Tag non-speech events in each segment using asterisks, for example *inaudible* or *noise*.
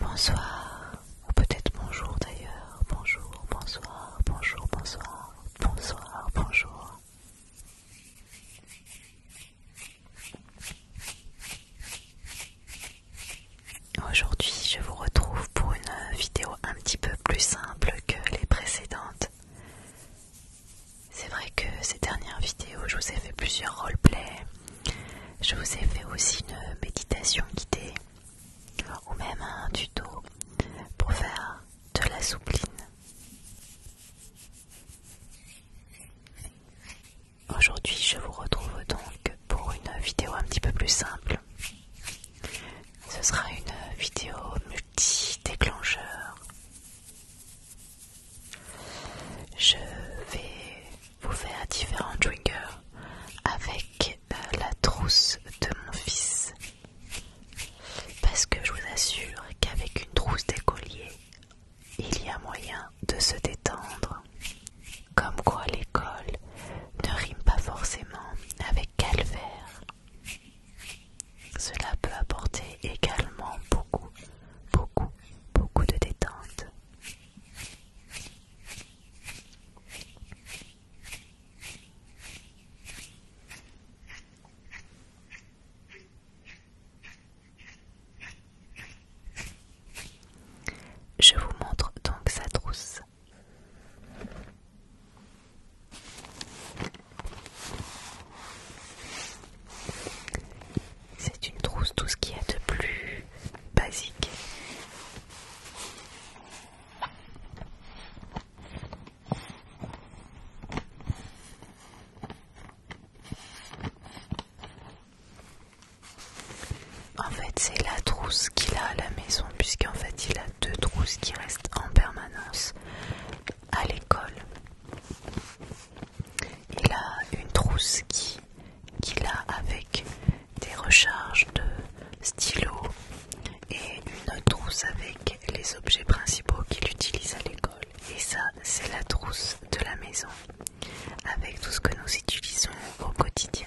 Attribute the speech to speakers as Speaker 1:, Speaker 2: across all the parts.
Speaker 1: Bonsoir, ou peut-être bonjour d'ailleurs. Bonjour, bonsoir, bonjour, bonsoir, bonsoir, bonjour. Aujourd'hui, je vous retrouve pour une vidéo un petit peu plus simple que les précédentes. C'est vrai que ces dernières vidéos, je vous ai fait plusieurs roleplays. Je vous ai fait aussi une méditation guidée ou même un tuto pour faire de la soupline. Aujourd'hui, je vous retrouve donc pour une vidéo un petit peu plus simple. Ce sera une vidéo multi-déclencheur. Je vais vous faire différents triggers avec la trousse de mon fils. Parce que je vous assure qu'avec une trousse d'écolier, il y a moyen de se détendre. Comme quoi l'école ne rime pas forcément avec calvaire. Cela peut apporter également beaucoup, beaucoup, beaucoup de détente. Je vous montre donc sa trousse. C'est une trousse, tout ce qui est de plus basique. En fait, c'est la trousse qu'il a à la maison, puisqu'en fait, il a deux trousses qui restent en permanence à l'école. Il a une trousse qu'il a avec des recharges de stylos et une trousse avec les objets principaux qu'il utilise à l'école. Et ça, c'est la trousse de la maison avec tout ce que nous utilisons au quotidien.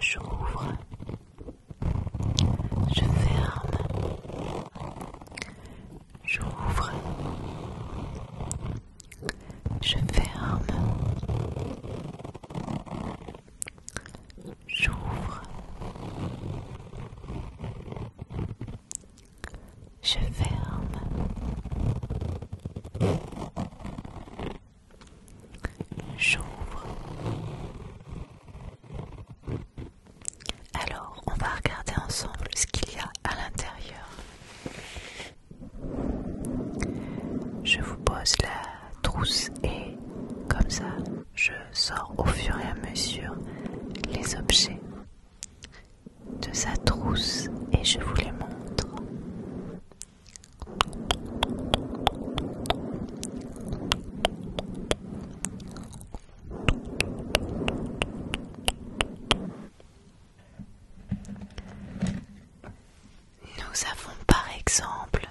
Speaker 1: je rouvre je ferme. J'ouvre. Je ferme. J'ouvre. Je ferme. J'ouvre. Alors, on va regarder ensemble ce qu'il y a à l'intérieur. Je vous pose la trousse et comme ça, je sors au fur et à mesure les objets de sa trousse et je vous les montre. Nous avons par exemple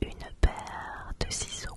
Speaker 1: une paire de ciseaux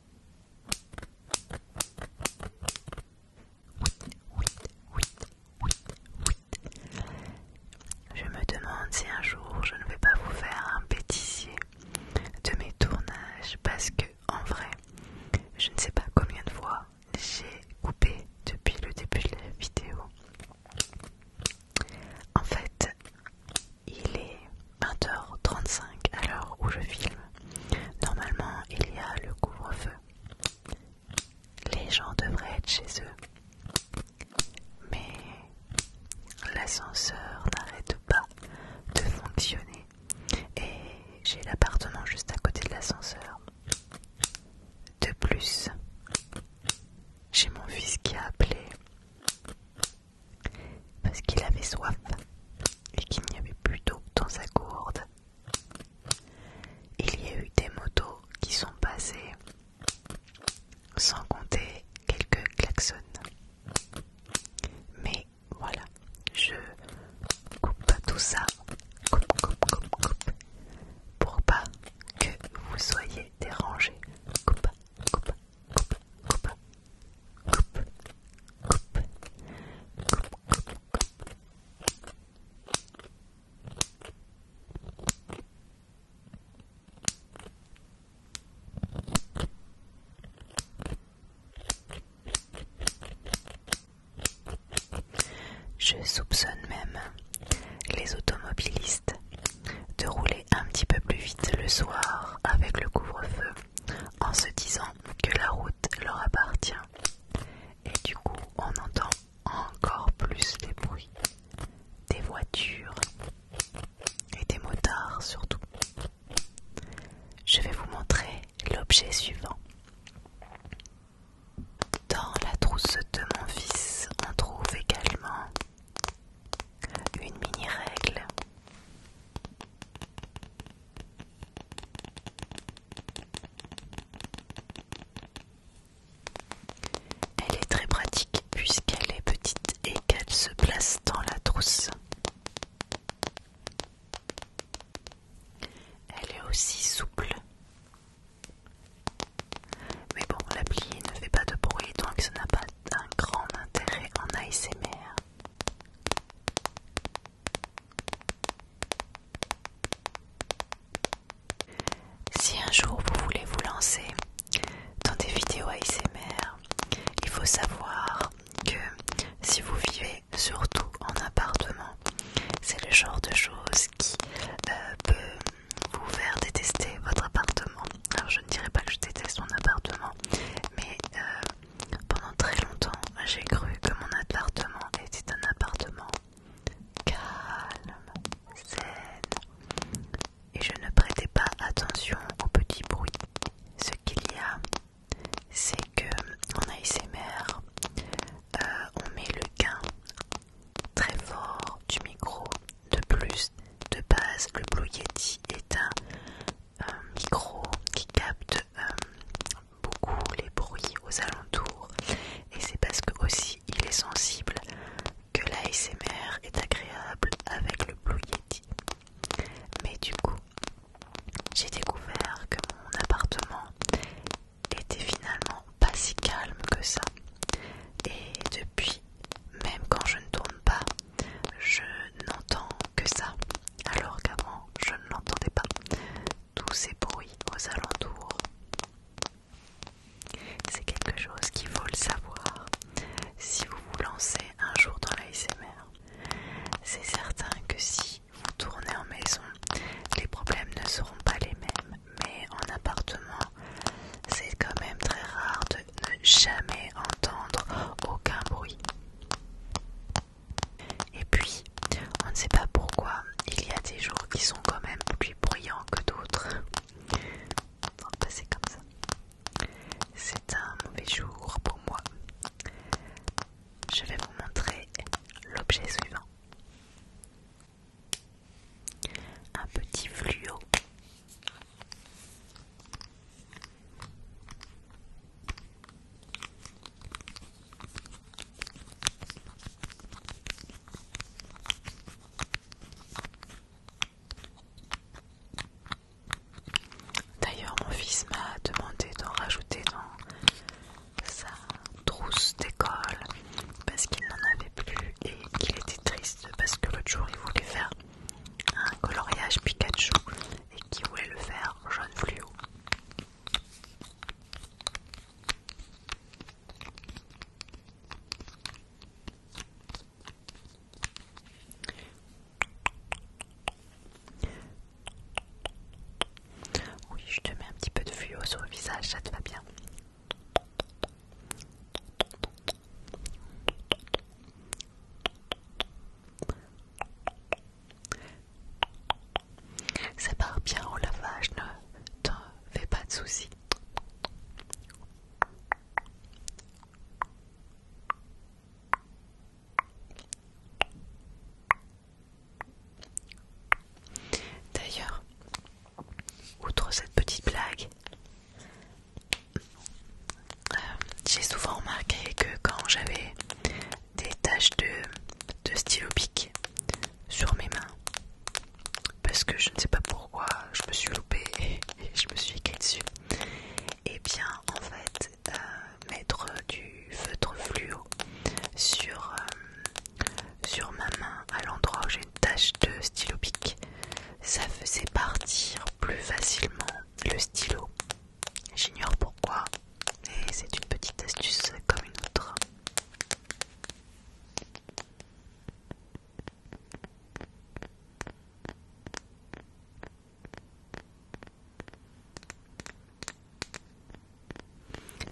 Speaker 1: Je me demande si un jour je ne vais pas vous faire un bêtisier de mes tournages parce que en vrai, je ne sais pas combien de fois j'ai coupé depuis le début de la vidéo. En fait, il est 20h35 à l'heure où je filme. Normalement, il y a le couvre-feu. Les gens devraient être chez eux. Mais l'ascenseur n'arrête pas de fonctionner. Et j'ai l'appartement juste à côté de l'ascenseur. De plus, j'ai mon fils qui a appelé parce qu'il avait soif et qu'il n'y avait plus d'eau dans sa gourde. Il y a eu des motos qui sont passées, sans compter quelques klaxons. Mais voilà, je coupe pas tout ça, coupe, coupe, coupe, pour pas que vous soyez dérangé. Coupe, coupe, je soupçonne même les automobilistes de rouler un petit peu plus vite le soir avec le couvre-feu en se disant que la route leur appartient. Et du coup, on entend encore plus des bruits des voitures et des motards surtout. Je vais vous montrer l'objet suivant. Dans la trousse de mon fils, on trouve également une mini règle, elle est très pratique puisqu'elle est petite et qu'elle se place dans la trousse. Elle est aussi souple. Mais bon, la pliée ne fait pas de bruit donc ça n'a pas un grand intérêt en ASMR. Si un jour vous voulez vous lancer dans des vidéos ASMR, il faut savoir que si vous vivez surtout en appartement, c'est le genre de chose qui euh, peut vous faire détester votre appartement. Alors je ne dirais pas que je déteste mon appartement, mais euh, pendant très longtemps, j'ai cru que mon appartement était un appartement calme, zen, et je ne prêtais pas attention aux petits bruits. Ce qu'il y a, c'est que en ASMR, euh, on met le gain très fort du micro. De plus, de base, le Blue Yeti est un euh, micro qui capte euh, beaucoup les bruits aux alentours et c'est parce que aussi il est sensible que l'ASMR est agréable avec le Blue Yeti. Mais du coup, j'ai découvert que mon appartement était finalement pas si calme que ça. Et depuis, même quand je ne tourne pas, je n'entends que ça, alors qu'avant je ne l'entendais pas. Tous ces bruits aux alentours. C'est quelque chose qu'il faut le savoir si vous vous lancez un jour dans l'ASMR. C'est certain que si vous tournez en maison, les problèmes ne seront pas les mêmes, mais en appartement, c'est quand même très rare de ne jamais entendre aucun bruit. Et puis, on ne sait pas pourquoi, il y a des jours qui sont quand même plus bruyants que d'autres. c'est comme ça. C'est un mauvais jour pour moi. Je vais vous montrer l'objet suivant. Un petit fluo. D'ailleurs, mon fils m'a demandé d'en rajouter dans sa trousse d'école parce qu'il n'en avait plus et qu'il était triste parce que l'autre jour il voulait faire un coloriage Pikachu et qu'il voulait le faire jaune fluo. Oui, je te mets un petit peu de fuyau sur le visage, ça te va bien. Ça part bien au lavage, ne t'en fais pas de soucis. D'ailleurs, outre cette petite blague, euh, j'ai souvent remarqué que quand j'avais des taches de, stylo pique sur mes mains parce que je ne sais pas pourquoi je me suis loupée *laughs* et je me suis écrite dessus. Et eh bien en fait euh, mettre du feutre fluo sur, euh, sur ma main à l'endroit où j'ai une tache de stylo pique, ça faisait partir plus facilement le stylo J'ignore pourquoi, mais c'est une petite astuce comme une autre.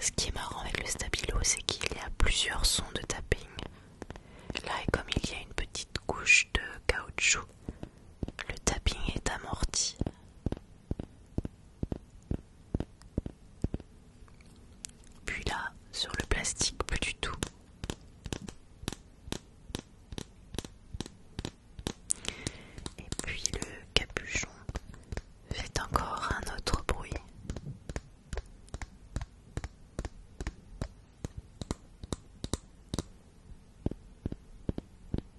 Speaker 1: Ce qui est marrant avec le stabilo, c'est qu'il y a plusieurs sons de tapping. Là, et comme il y a une petite couche de caoutchouc, le tapping est amorti. Puis là, sur le plastique, plus du tout. Et puis le capuchon fait encore un autre bruit.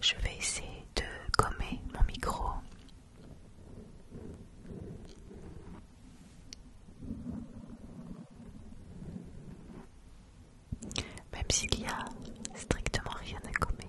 Speaker 1: Je vais essayer de gommer mon micro. Même s'il y a strictement rien à gommer.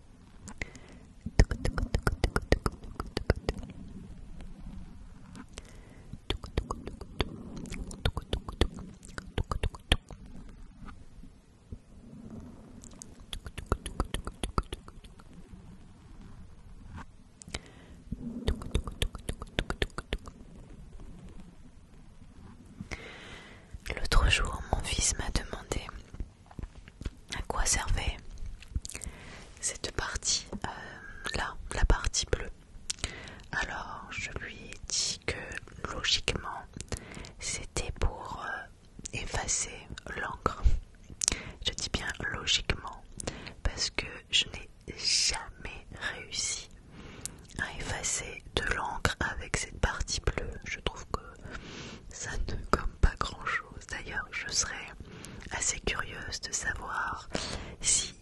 Speaker 1: L'autre jour, mon fils m'a demandé à quoi servait cette partie euh, là, la partie bleue. Alors je lui ai dit que logiquement c'était pour euh, effacer l'encre. Je dis bien logiquement parce que je n'ai jamais réussi à effacer de l'encre avec cette partie bleue. Je trouve que ça ne comme pas grand chose. D'ailleurs, je serais assez curieuse de savoir si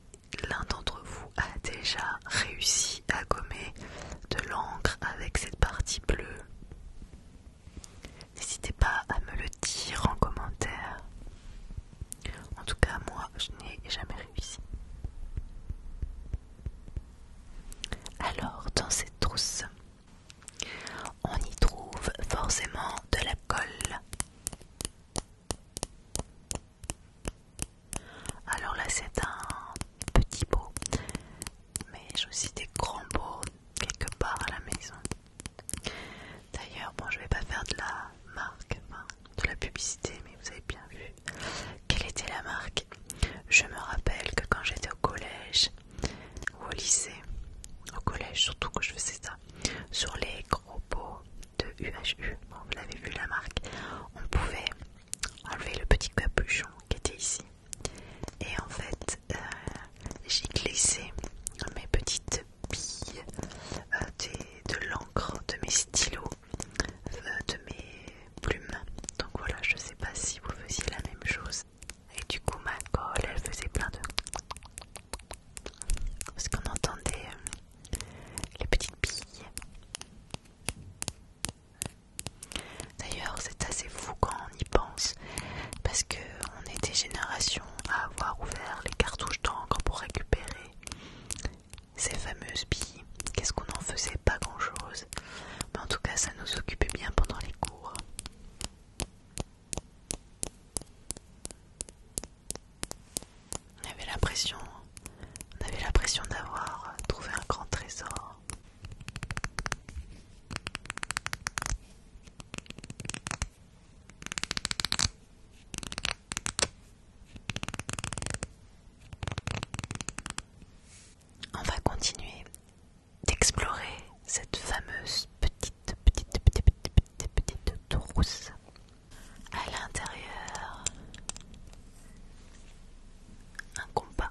Speaker 1: l'un d'entre vous a déjà réussi à gommer de l'encre avec cette partie bleue. N'hésitez pas à me le dire en commentaire. En tout cas, moi, je n'ai jamais réussi. Alors, dans cette trousse, on y trouve forcément de la colle. Alors là c'est un petit pot, mais j'ai aussi des grands pots quelque part à la maison. D'ailleurs, bon je vais pas faire de la marque, de la publicité, mais vous avez bien vu quelle était la marque. Je me rappelle que quand j'étais au collège, ou au lycée, au collège surtout que je faisais ça, sur les gros pots de UHU, vous l'avez vu la marque, on pouvait enlever le petit capuchon qui était ici. Et en fait, euh, j'ai glissé mes petites billes euh, de l'encre, de mes stylos, euh, de mes plumes. Donc voilà, je ne sais pas si vous faisiez la même chose. Et du coup, ma colle, elle faisait plein de. Parce qu'on entendait euh, les petites billes. D'ailleurs, c'est assez fou quand on y pense. Parce que on était générations à avoir ouvert les cartouches d'encre pour récupérer ces fameuses billes. Qu'est-ce qu'on en faisait Pas grand chose. Mais en tout cas, ça nous occupait bien pendant les cours. On avait l'impression, on avait l'impression d'avoir trouvé un grand trésor. On va continuer d'explorer cette fameuse petite petites, petites, petites, petite petites À l'intérieur, un compas.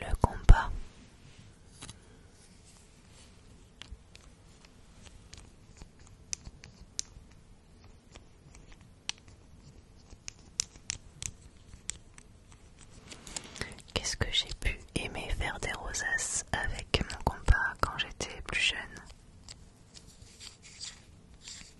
Speaker 1: Le compas. Qu'est-ce que j'ai pu aimer faire des rosaces avec mon compas quand j'étais plus jeune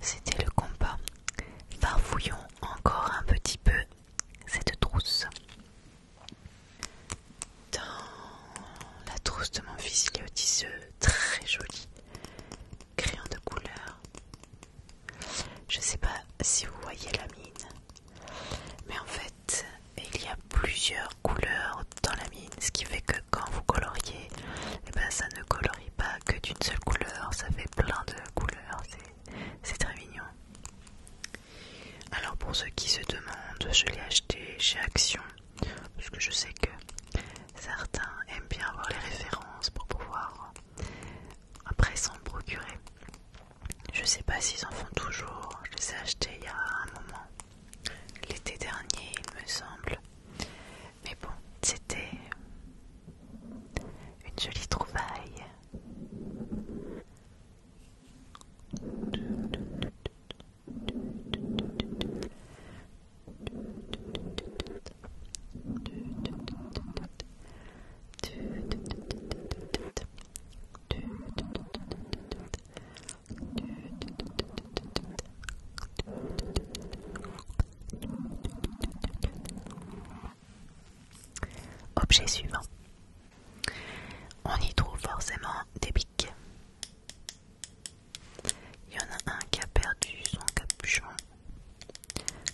Speaker 1: C'était le compas. Farfouillons encore un petit peu cette trousse. Dans la trousse de mon fils, il y a très joli crayon de couleurs Je sais pas si vous voyez la mine, mais en fait, il y a plusieurs couleurs dans la mine, ce qui fait que quand vous coloriez, et eh ben ça ne colorie pas que d'une seule couleur, ça fait plein de couleurs, c'est très mignon. Alors pour ceux qui se demandent, je l'ai acheté chez Action, parce que je sais que certains aiment bien avoir les références pour pouvoir après s'en procurer. Je ne sais pas s'ils en font toujours, je les ai achetés il y a un moment, l'été dernier il me semble. Mais bon, c'était une jolie trouvaille. Objet suivant. On y trouve forcément des piques. Il y en a un qui a perdu son capuchon.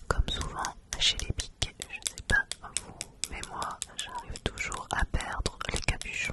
Speaker 1: Comme souvent chez les piques, je ne sais pas vous, mais moi j'arrive toujours à perdre les capuchons.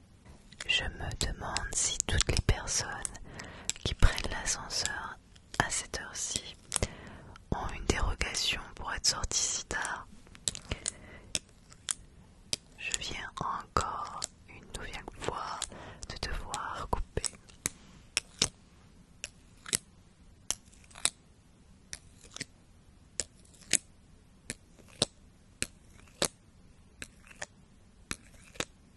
Speaker 1: Je me demande si toutes les personnes qui prennent l'ascenseur à cette heure-ci ont une dérogation pour être sorties si tard. Je viens encore une nouvelle fois de devoir couper.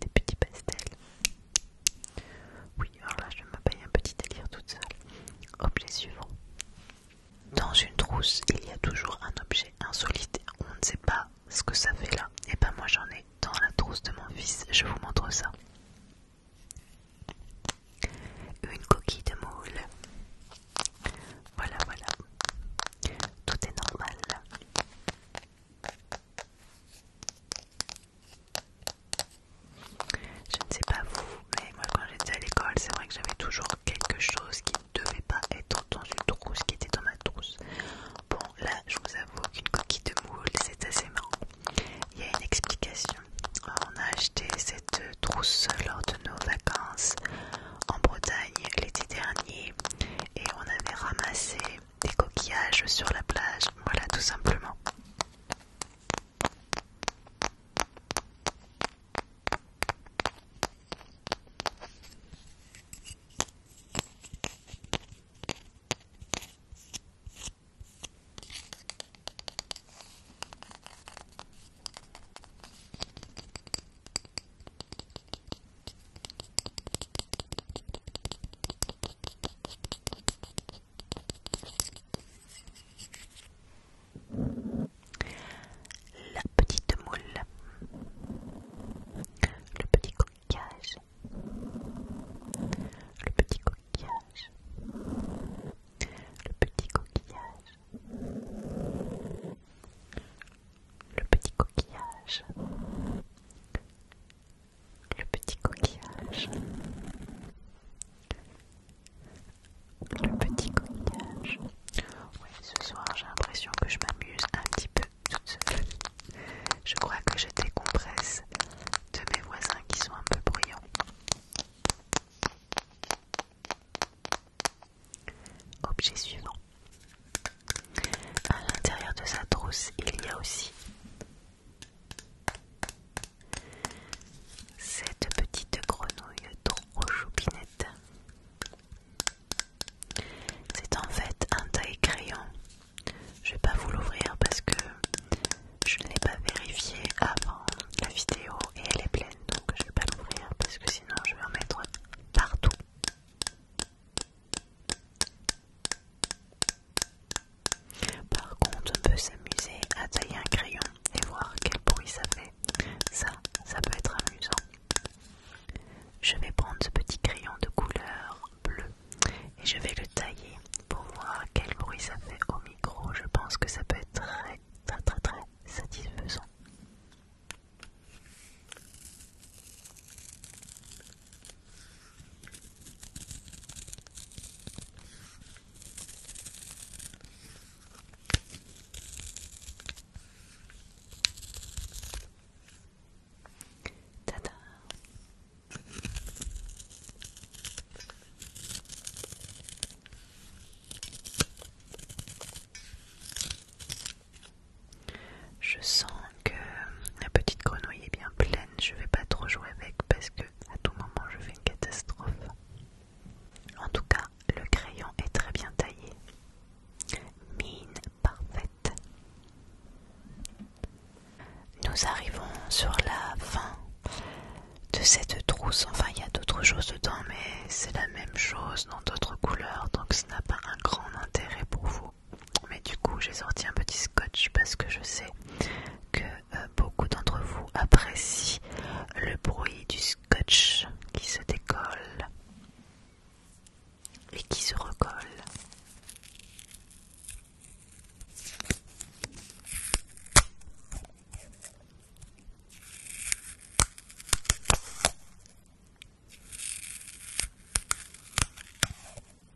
Speaker 1: des petits pastels. Oui, alors là je me un petit délire toute seule. Objet suivant. Dans une trousse, il y a toujours un objet insolite. On ne sait pas ce que ça fait là. Et eh ben moi j'en ai dans la trousse de mon fils. Je vous montre ça. Une coquille de moule. Voilà, voilà. Tout est normal. Je ne sais pas vous, mais moi quand j'étais à l'école, c'est vrai que j'avais toujours quelque chose qui ne devait pas être dans une trousse, qui était dans ma trousse. Bon, là, je vous avoue qu'une coquille de moule, c'est assez marrant. Il y a une explication. On a acheté cette trousse lors de nos vacances en Bretagne l'été dernier et on avait ramassé des coquillages sur la plage, voilà tout simplement. La petite moule, le petit coquillage, le petit coquillage, le petit coquillage, le petit coquillage, le petit coquillage, le petit coquillage. ce soir j'ai l'impression que je m'amuse un petit peu toute seule. Je crois que je décompresse de mes voisins qui sont un peu bruyants. Objet suivant. À l'intérieur de sa trousse, il y a aussi cette petite grenouille trop choupinette. C'est en fait un taille crayon. Je vais pas vous l'ouvrir parce que je ne l'ai pas vérifié avant la vidéo et elle est pleine donc je vais pas l'ouvrir parce que sinon je vais en mettre partout. Par contre, on peut s'amuser à tailler un crayon et voir quel bruit ça fait. Ça, ça peut être amusant. Je vais prendre ce petit crayon de couleur bleue et je vais le tailler pour voir quel bruit ça fait au micro. Je pense que ça peut être très, très, très, très satisfaisant je sens que la petite grenouille est bien pleine, je vais pas trop jouer avec parce que à tout moment je fais une catastrophe. En tout cas, le crayon est très bien taillé. Mine parfaite. Nous arrivons sur la fin de cette trousse. Enfin, il y a d'autres choses dedans, mais c'est la même chose dans d'autres couleurs, donc ça n'a pas un grand intérêt pour vous. Mais du coup, j'ai sorti un petit scotch parce que je sais que euh, beaucoup d'entre vous apprécient le bruit du scotch qui se décolle et qui se recolle.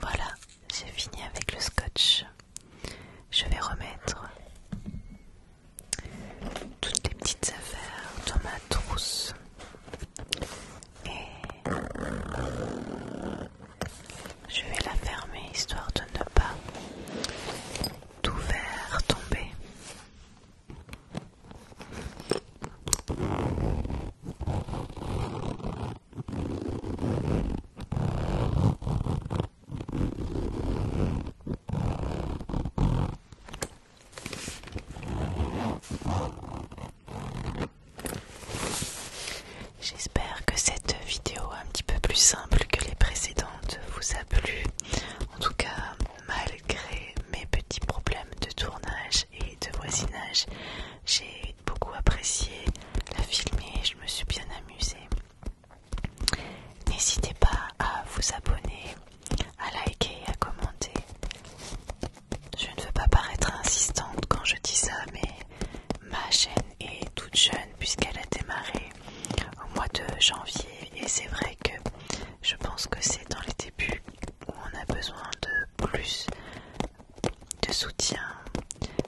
Speaker 1: Voilà, j'ai fini avec le scotch. Je vais remettre toutes les petites affaires dans ma trousse je vais la fermer histoire de ne pas tout faire tomber. J'espère que cette vidéo un petit peu plus simple que les précédentes vous a plu. En tout cas, malgré mes petits problèmes de tournage et de voisinage, j'ai beaucoup apprécié la filmer, je me suis bien amusée. N'hésitez pas à vous abonner, à liker, à commenter. Je ne veux pas paraître insistante quand je dis ça, mais ma chaîne est toute jeune puisqu'elle a démarré au mois de janvier et c'est vrai que je pense que c'est dans les débuts où on a besoin de plus de soutien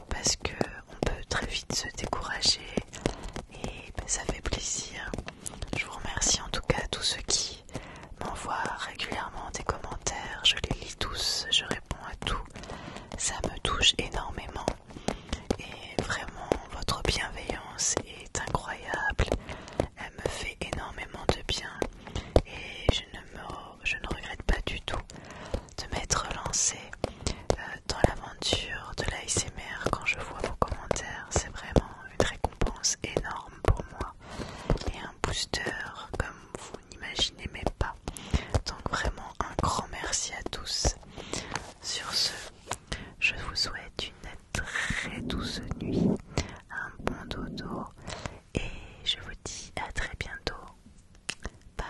Speaker 1: parce que on peut très vite se décourager et ça fait plaisir. Je vous remercie en tout cas à tous ceux qui m'envoient régulièrement des commentaires, je les lis tous, je réponds à tout. Ça me touche énormément. Et vraiment, votre bienveillance est incroyable. Elle me fait énormément de bien. Et je ne, je ne regrette pas du tout de m'être lancée euh, dans l'aventure de l'ASMR quand je vois vos commentaires. C'est vraiment une récompense énorme pour moi. Et un booster comme vous n'imaginez même pas. Donc vraiment un grand merci à tous. Sur ce, je vous souhaite une très douce nuit, un bon dodo et je vous dis à très bientôt. Bye